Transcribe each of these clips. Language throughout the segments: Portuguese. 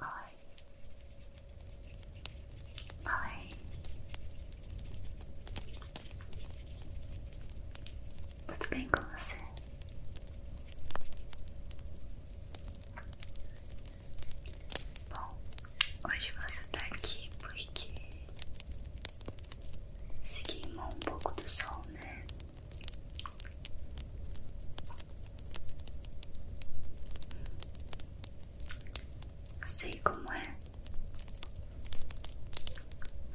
Oi. Oi. Tudo bem com você? Bom, hoje você está aqui porque se queimou um pouco do sol, né? Sei como é.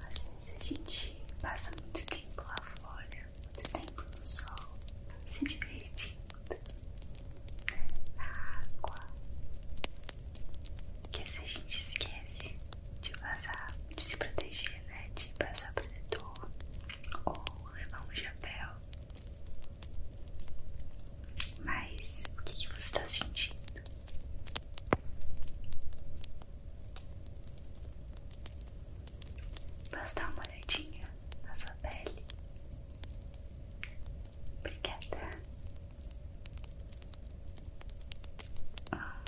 Às vezes a gente passa muito tempo lá fora, muito tempo no sol, se divertindo, na água, que a gente esquece de passar, de se proteger, né? De passar protetor ou levar um chapéu. Mas o que, você está sentindo? Posso dar uma olhadinha na sua pele? Obrigada. Ah,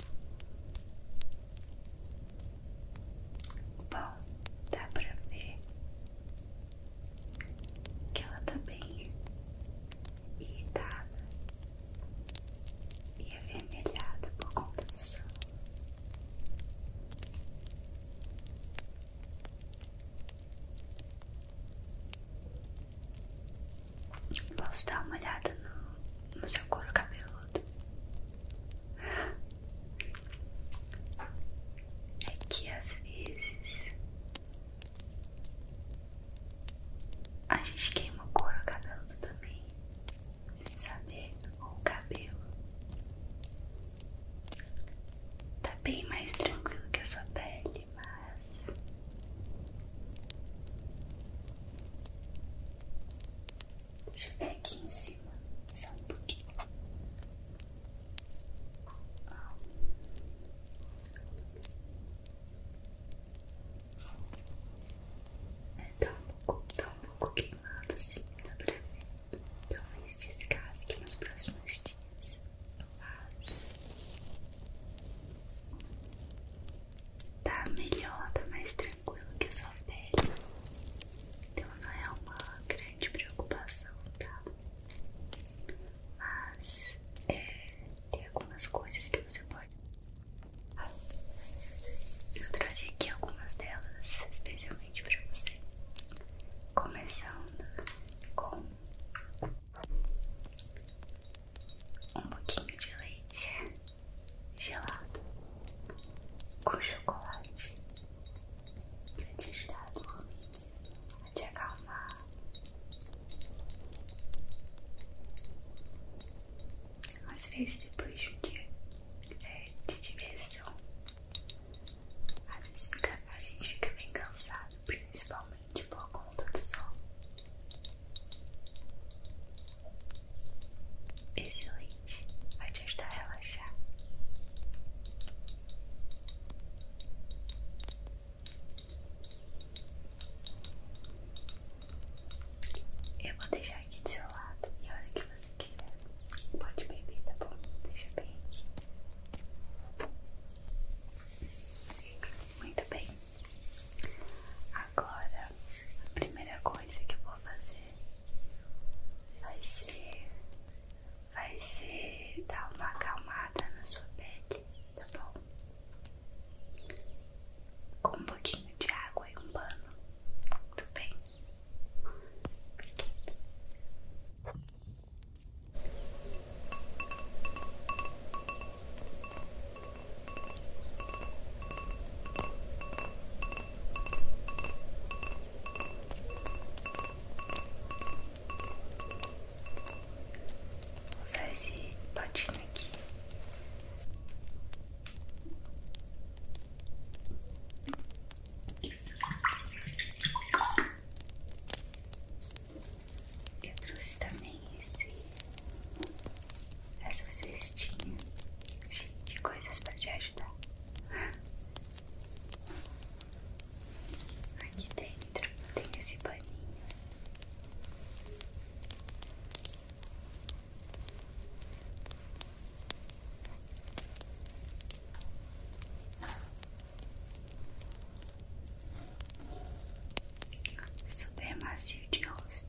Bom, dá pra ver que ela tá bem irritada e avermelhada por conta do sol. Posso dar uma olhada no, no seu couro cabeludo? É que às vezes a gente queima o couro acabando também, sem saber, ou o cabelo. Tá bem mais tranquilo que a sua pele, mas Deixa eu ver aqui em cima, só um pouquinho. É, tão tá um pouco, tá um pouco queimado sim, dá pra ver. Talvez descasque nos próximos dias, mas tá melhor, tá mais tranquilo que a sua pele. Então não é uma grande preocupação, tá? Mas é, tem algumas coisas que você pode. Ah, eu trouxe aqui algumas delas especialmente para você. Começando com um pouquinho de leite gelado com chocolate para te ajudar a dormir, a te acalmar. Às vezes, depois de um dia é, de diversão, às vezes fica, a gente fica bem cansado, principalmente por conta do sol. Excelente, vai te ajudar a relaxar. Eu vou deixar aqui do seu lado e a hora que você quiser, pode beber, tá bom? Deixa bem aqui. Muito bem. Agora, a primeira coisa que eu vou fazer vai ser, vai ser dar uma acalmada na sua pele, tá bom? Com um pouquinho de água e um pano, tudo bem? usar esse potinho aqui. Eu trouxe também esse essa cestinha cheia de coisas para te ajudar. Aqui dentro tem esse paninho. Super macio de rosto.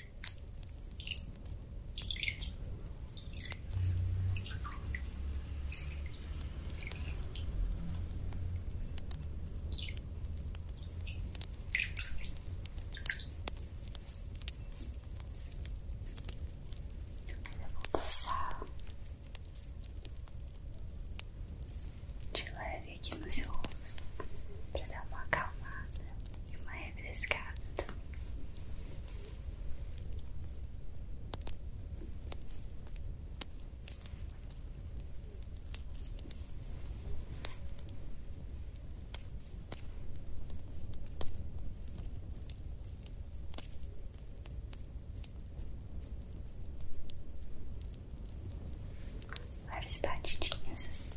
Eu vou passar de leve suave aqui no seu rosto para dar uma acalmada e uma refrescada. Várias batidinhas assim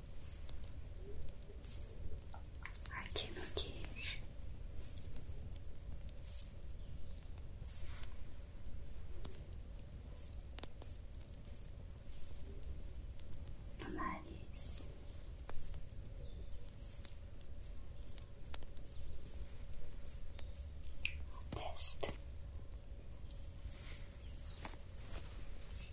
aqui no queixo. No nariz, na testa,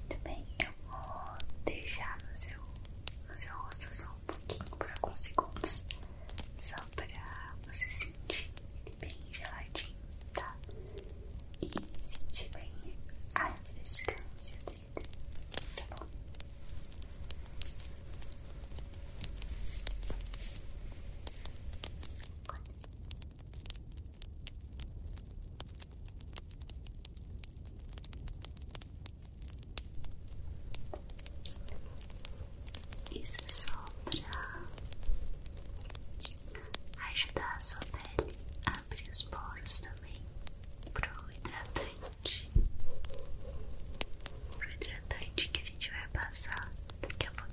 Muito bem, eu vou deixar no seu, no seu rosto só um pouquinho por alguns segundos, só pra você sentir ele bem geladinho, tá? E sentir bem a refrescância dele, tá bom? Isso é só pra ajudar a sua pele a abrir os poros também pro hidratante. Pro hidratante que a gente vai passar daqui a pouquinho.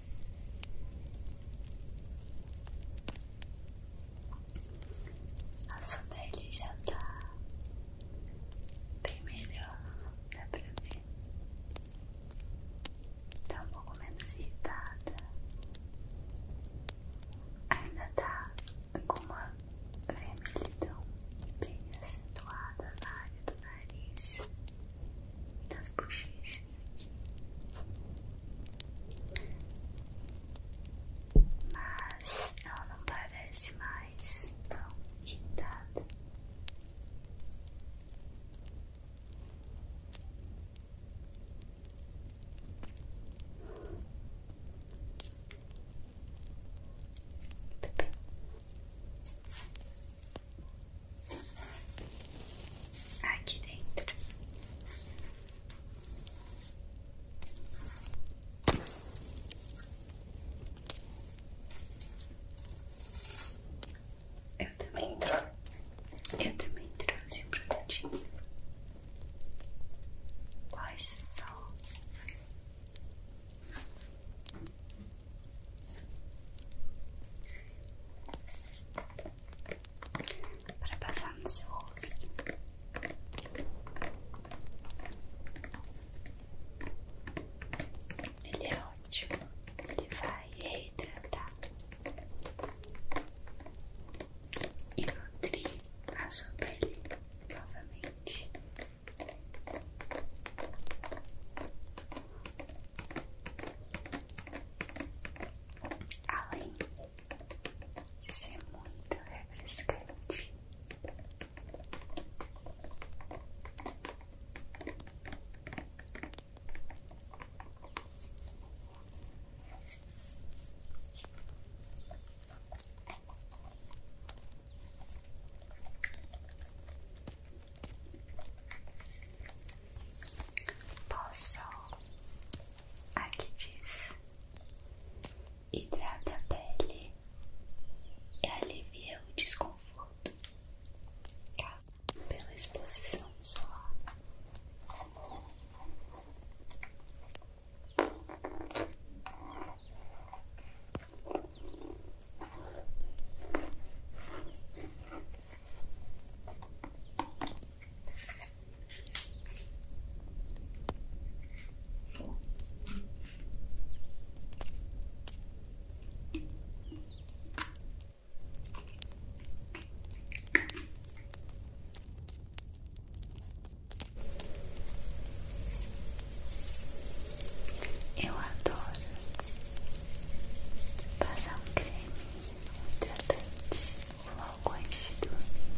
A sua pele já tá bem dá pra ver. Tá um pouco menos irritada. Ainda tá com uma vermelhidão bem acentuada na área do nariz e das bochechas. Mas ela não parece mais tão irritada aqui dentro. Eu também trouxe, eu também trouxe um produtinho. Quais só para passar no seu rosto. Ele é ótimo, ele vai reidratar e nutrir a sua pele novamente além de ser muito refrescante. Posso Aqui diz: hidrata a pele e alivia o desconforto causado pela exposição solar. Eu adoro passar um creme, de tratante, algo antes de dormir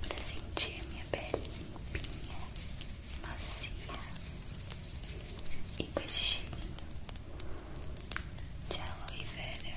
para sentir a minha pele limpinha, macia e com esse cheirinho de aloe vera.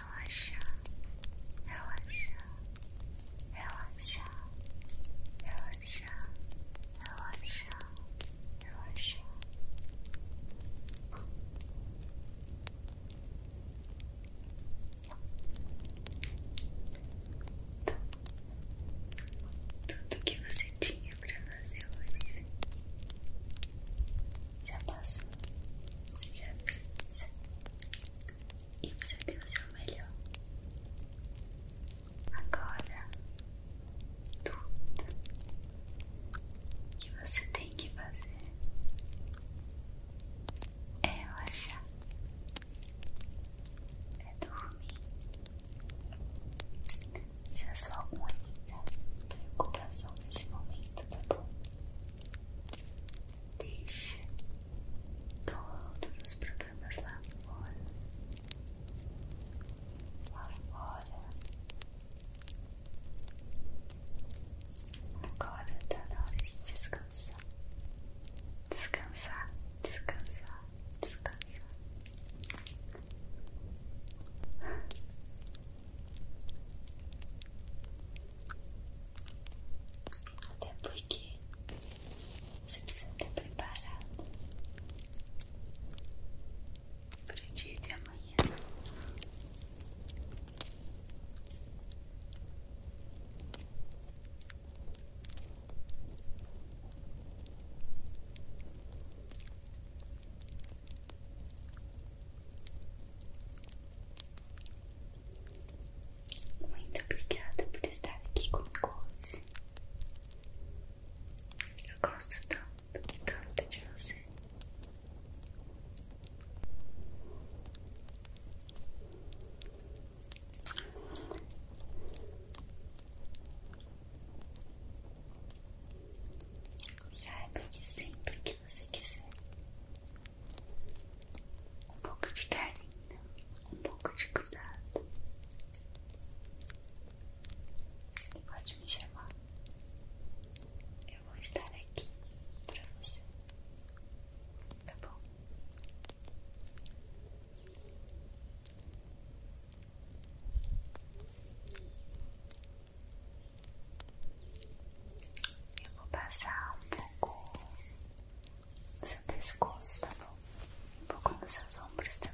relaxar, relaxar, relaxar, relaxar, relaxar, relaxar. Tudo que você tinha pra fazer hoje já passou, já fez, e você deu o seu melhor. Agora, tudo que você tem que fazer é relaxar, é dormir. Se a sua única preocupação nesse momento, tá bom? Deixa todos os problemas lá fora. Lá fora. Agora tá na hora de descansar. Descansar, descansar, descansar. Até porque você precisa estar preparado para o dia de amanhã. Muito obrigada por estar aqui comigo hoje. Eu gosto tanto, tanto de você. Saiba que sempre que você quiser, um pouco de carinho, um pouco de cuidado. E pode me chamar, eu vou estar aqui pra você, tá bom? Eu vou passar um pouco você seu pescoço, tá bom? Um pouco nos seus ombros também.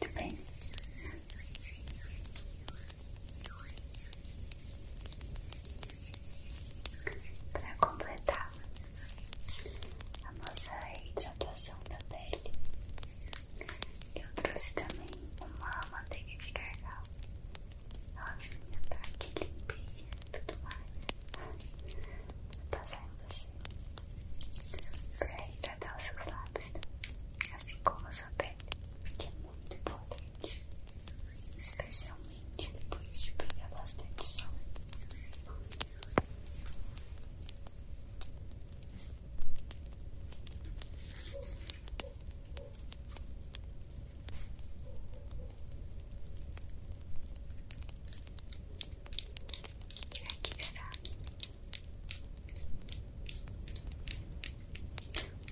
Muito bem. Para completar a nossa hidratação da pele, eu trouxe também uma manteiga de gargalo. Novinha, tá aqui limpinha e tudo mais. Vou passar em você. Pra hidratar os seus lábios, né? assim como a sua pele, que é muito importante. Especialmente depois de pegar bastante sol.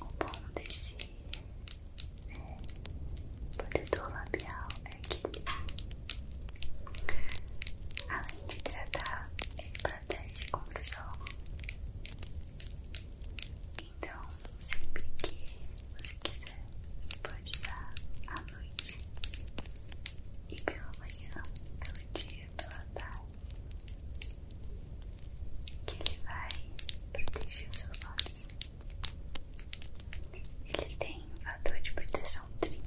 O bom desse é, né, protetor labial é que além de tratar, ele protege contra o sol então, sempre que você quiser, pode usar à noite e pela manhã, pelo dia, pela tarde, que ele vai proteger os seus olhos. Ele tem um fator de proteção 30.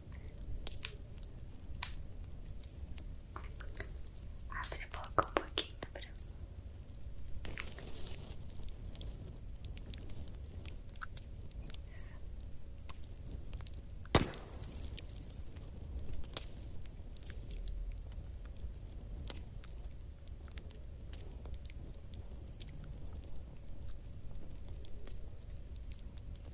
Abre a boca um pouquinho pra mim.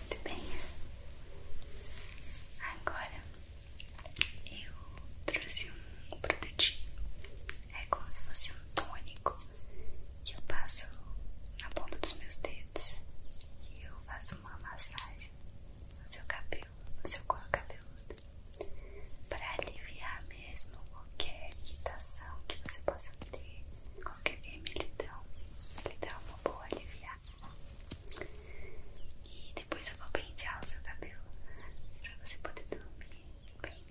Muito bem. Agora eu trouxe um produtinho. É como se fosse um tônico que eu passo na ponta dos meus dedos e eu faço uma massagem no seu cabelo, no seu couro cabeludo para aliviar mesmo qualquer irritação que você possa ter, qualquer vermelhidão, ele dá uma boa aliviar E depois eu vou pentear o seu cabelo para você poder dormir bem.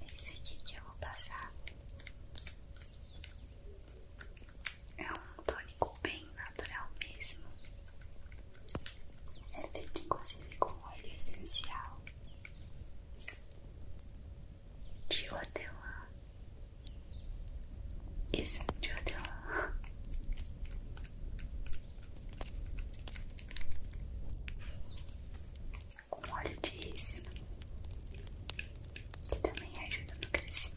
É isso aqui que eu vou passar é um tônico bem natural mesmo. É feito inclusive com óleo essencial de hortelã. Isso, de hortelã. Com óleo de rícino, que também ajuda no crescimento.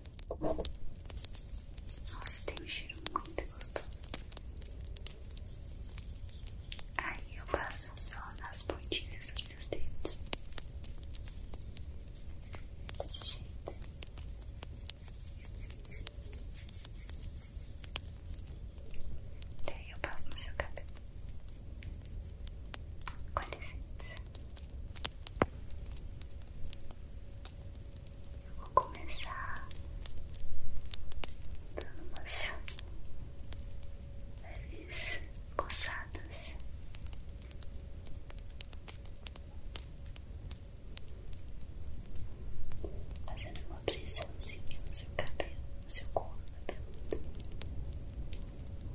Nossa, tem um cheiro muito gostoso. Aí eu passo só nas pontinhas dos meus dedos. Desse jeito. Daí eu passo no seu cabelo. Com licença. Eu vou começar dando umas leves coçadas. Fazendo uma pressãozinha no seu cabelo, no seu couro cabeludo,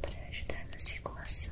para ajudar na circulação.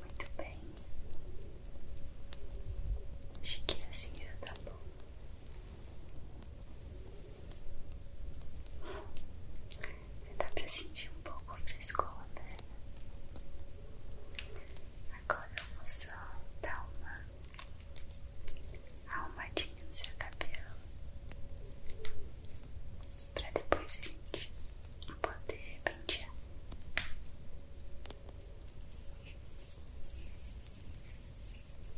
Muito bem, acho que assim já tá bom. Você dá tá pra sentir um pouco o frescor, né? Agora eu vou só dar uma arrumadinha no seu cabelo pra depois a gente poder pentear.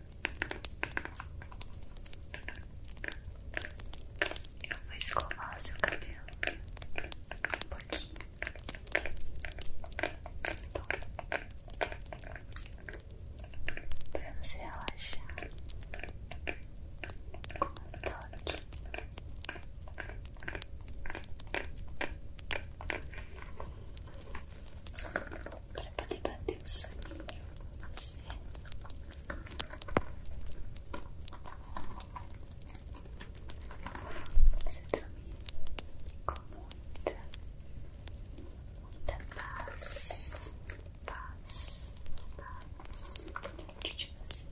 Eu vou escovar seu cabelo um pouquinho. Pra você relaxar como toque para poder bater um soninho você. Você dormir com muita, muita paz, paz, paz dentro de você,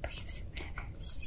porque você merece.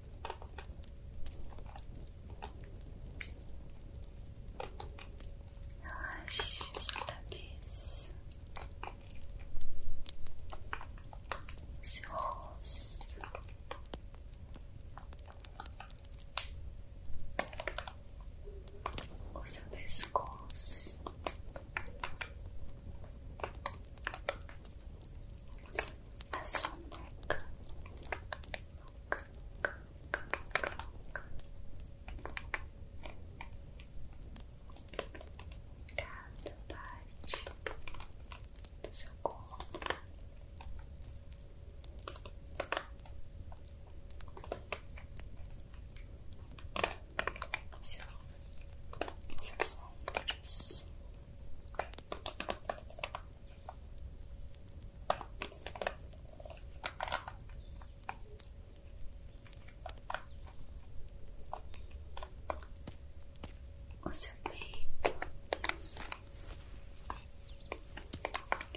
Relaxe sua cabeça, seu rosto. O seu pescoço, a sua boca. boca, boca, boca, boca. Cada parte do seu corpo. Seu, seus ombros, o seu peito,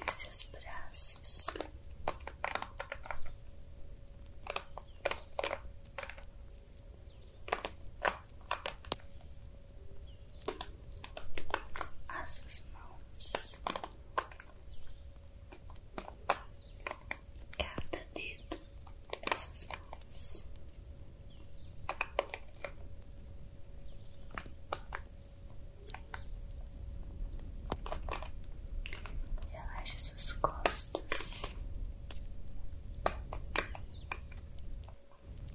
os seus braços as suas mãos, cada dedo das suas mãos. Relaxa suas costas,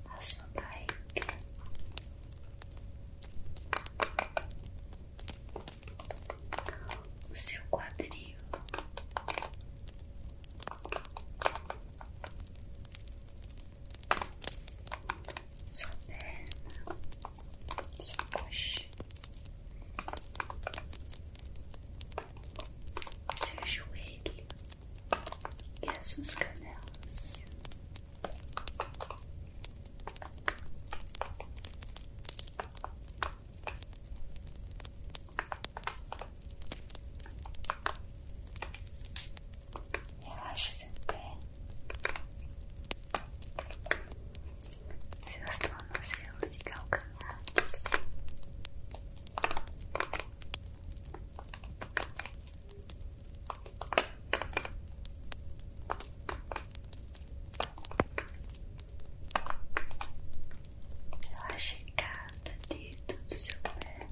a sua Assodaica o seu quadril sua perna sua coxa seu joelho e as suas canelas. Relaxe seu pé, seus tornozelos e calcanhares. Relaxe cada dedo do seu pé,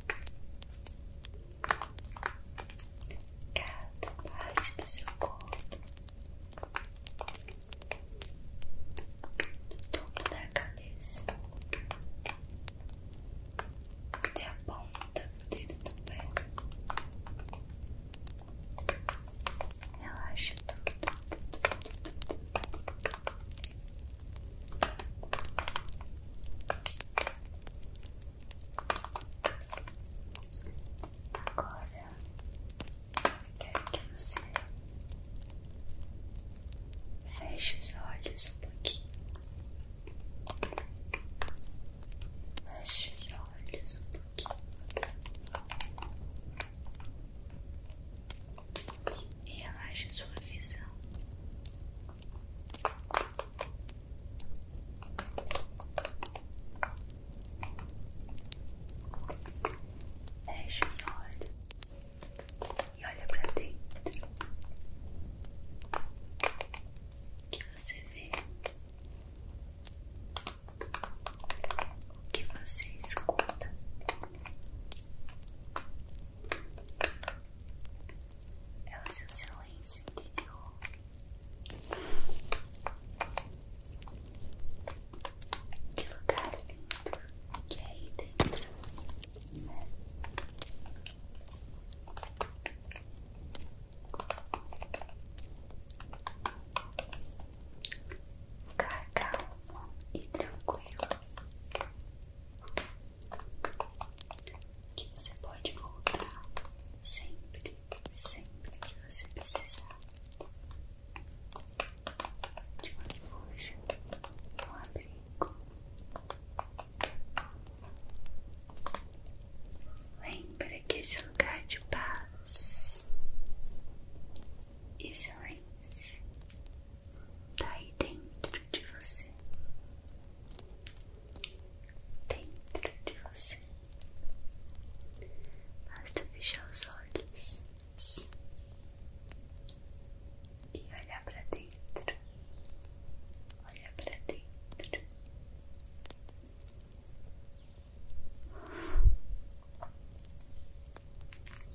cada parte do seu corpo, do topo da cabeça até a ponta do dedo também pé. Relaxa tudo. Agora quero que você Feche os olhos um pouquinho. Feche os olhos um pouquinho. E relaxa a sua visão. Feche os olhos. e olha pra dentro. que você vê? O que você escuta? É o seu silêncio interior. Que lugar lindo que é aí dentro, né? Lugar calmo e tranquilo que você pode voltar sempre, sempre que você precisar de uma refúgio, um abrigo, Lembra que esse lugar de paz e silêncio está aí dentro de você, dentro de você. Basta fechar os olhos e olhar para dentro, olhar para dentro.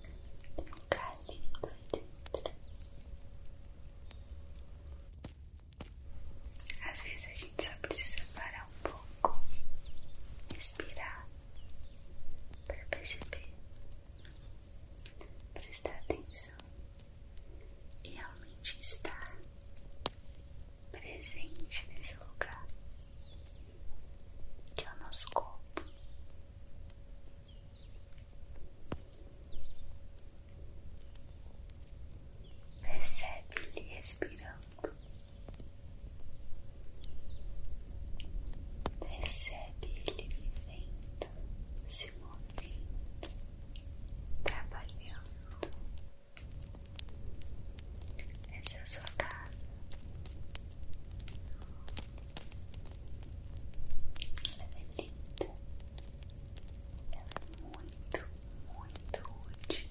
Tem um lugar lindo aí dentro. Às vezes a gente só precisa parar um pouco, respirar para perceber prestar atenção e realmente estar presente nesse lugar que é o nosso corpo. Percebe ele respirando. Percebe ele vivendo, se movendo trabalhando. Tá, Essa é a sua casa. Ela é linda. Ela é muito, muito útil.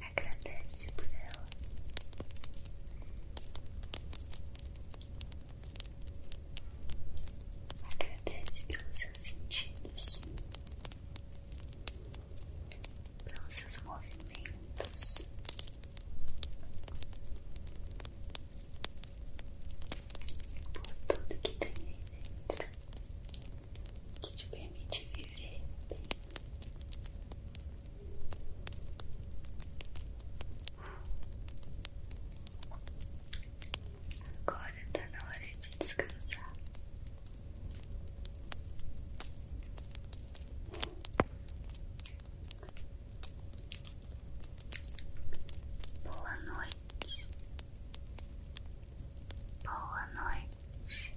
Agradece por ela. Agradece pelos seus sentidos, pelos seus movimentos. Por tudo que tem aí dentro que te permite viver bem, Agora tá na hora de descansar. Boa noite. Boa noite.